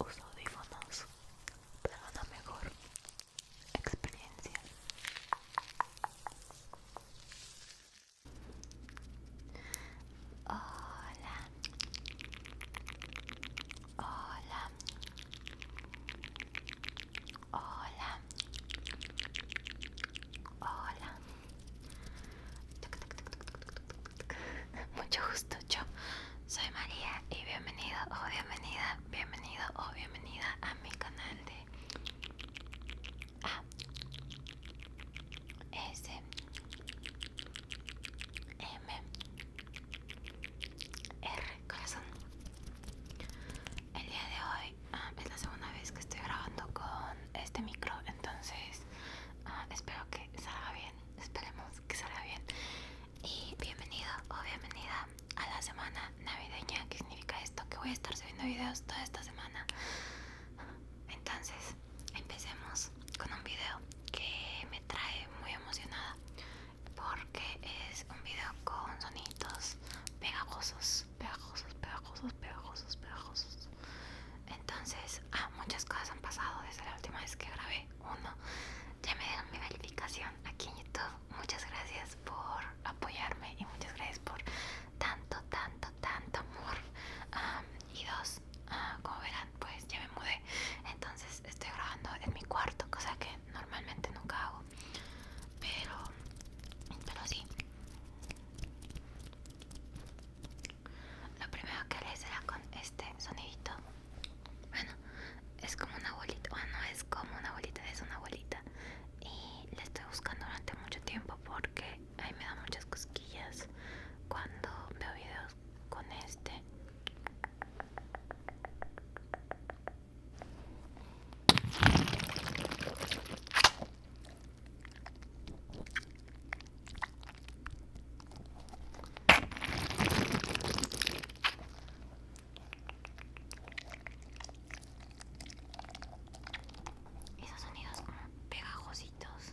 Uso audífonos para una mejor experiencia. Hola. Hola. Hola. Hola. Mucho gusto, yo soy María y bienvenido o bienvenida, bienvenido o bienvenida a mi canal de A S M R corazón. El día de hoy ah, es la segunda vez que estoy grabando con este micro, entonces ah, espero que salga bien. Esperemos que salga bien y bienvenido o bienvenida a la semana navideña. que significa esto? Que voy a estar subiendo videos toda esta semana. Entonces, empecemos con un video que me trae muy emocionada porque es un video con sonidos pegajosos, pegajosos, pegajosos, pegajosos, pegajosos. Entonces, ah, muchas cosas han pasado desde la última vez que grabé uno ya me dieron mi verificación aquí en YouTube. Muchas gracias por apoyarme y muchas gracias por tanto, tanto, tanto amor. y dos, ah, como verán, pues ya me mudé. Entonces estoy grabando en mi cuarto, cosa que normalmente nunca hago. Pero, pero sí. Lo primero que haré será con este sonidito. Bueno, es como una bolita, o no es como una bolita, es una bolita. Y la estoy buscando durante mucho tiempo porque ahí me da muchas cosquillas cuando veo videos con este. Esos sonidos mm, pegajositos.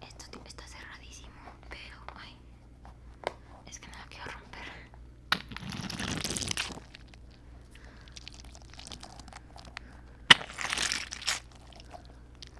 Y esto está cerradísimo, pero ay, es que me lo quiero romper.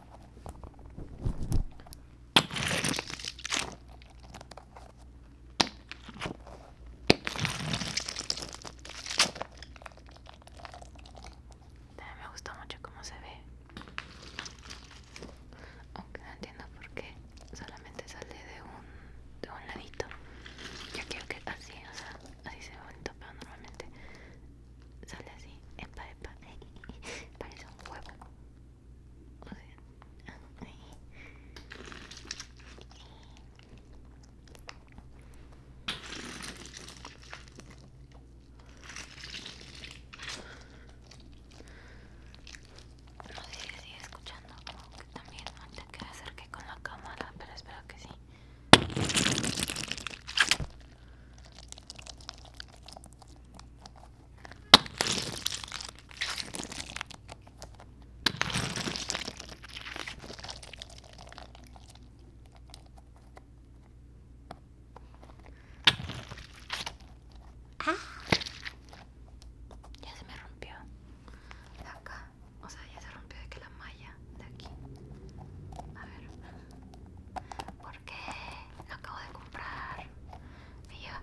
También me gusta mucho cómo se ve. Aunque no entiendo por qué solamente sale de un, de un ladito. Yo quiero que así, o sea, así se ve bonito, pero normalmente sale así. Epa, epa. Parece un huevo. No sé si sigue escuchando, como que también hacer que acerqué con la cámara, pero espero que sí. Ah, ya se me rompió de acá, o sea, ya se rompió de que la malla de aquí. A ver, porque lo acabo de comprar. Me lleva.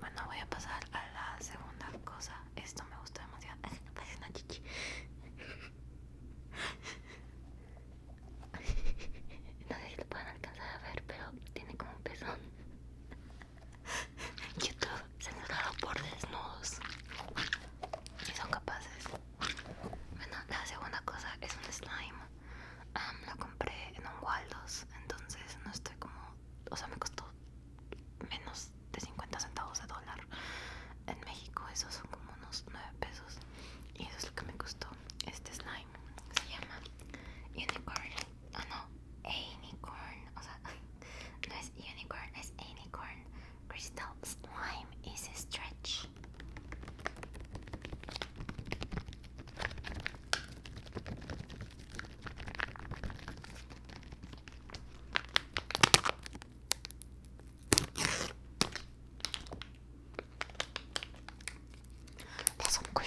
Bueno, voy a pasar a la segunda cosa. Esto me gusta demasiado. Parece una chichi. No sé si lo a alcanzar a ver, pero tiene como un pezón. YouTube censurado por desnudos y son capaces. Bueno, la segunda cosa es un slime. lo compré en un Waldos, entonces no estoy como. O sea, me costó menos de 50 centavos de dólar. En México, esos son como unos 9 pesos. Y eso es lo que me costó. Este slime se llama Unicorn oh no, unicorn. Also, no, unicorn, it's unicorn. Crystal slime is a stretch. That's some good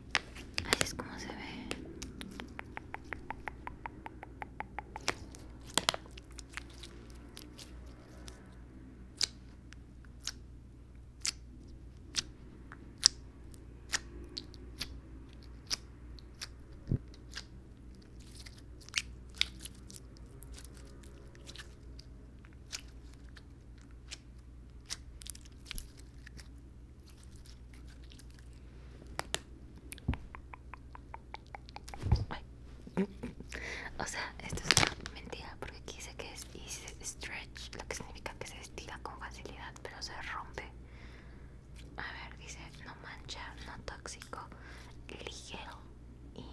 Así es como se ve. O sea, esto es una mentira porque aquí dice que es easy stretch, lo que significa que se estira con facilidad pero se rompe. A ver, dice no mancha, no tóxico, ligero y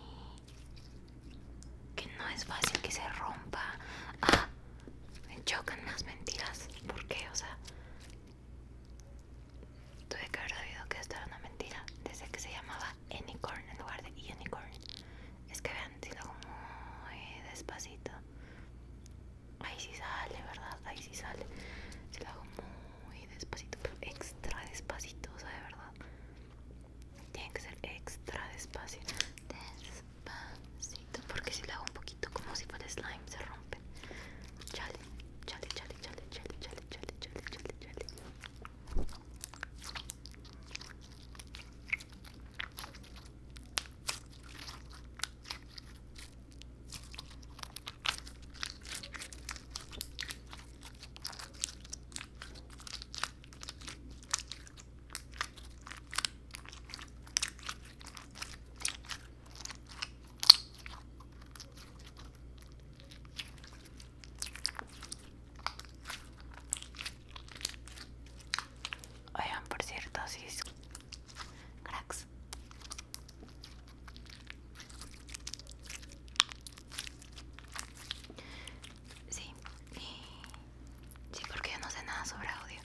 que no es fácil que se rompa. Ah, me chocan las mentiras. ¿Por qué? O sea, Tuve que haber sabido que esto era una mentira desde que se llamaba Unicorn en lugar de Unicorn. Es que vean, si lo hago muy despacito. Ahí sí sale, ¿verdad? Ahí sí sale. Si lo hago muy despacito, pero extra despacito, o de verdad. Tiene que ser extra despacito, Despacito, porque si lo hago un poquito poquito como si fuera slime se rompe chale chale chale chale chale chale chale chale chale chale Oigan, por cierto, si cracks. Sí, sí, porque yo no sé nada sobre audio.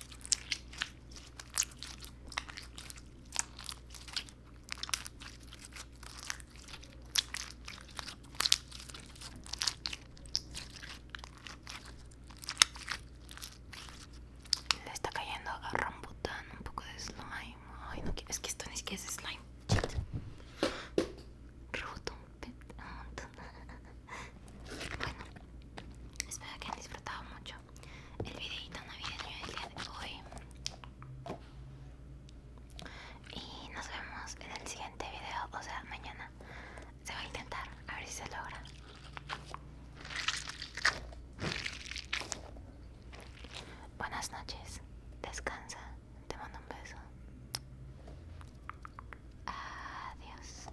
Le está cayendo a Rambutan un poco de slime. Ay, no quiero. Es que esto ni siquiera es slime. un montón Bueno, espero que hayan disfrutado mucho el videito navideño del día de hoy. Y nos vemos en el siguiente video, o sea, mañana. Se va a intentar, a ver si se logra. Buenas noches, descansa, te mando un beso. Adiós.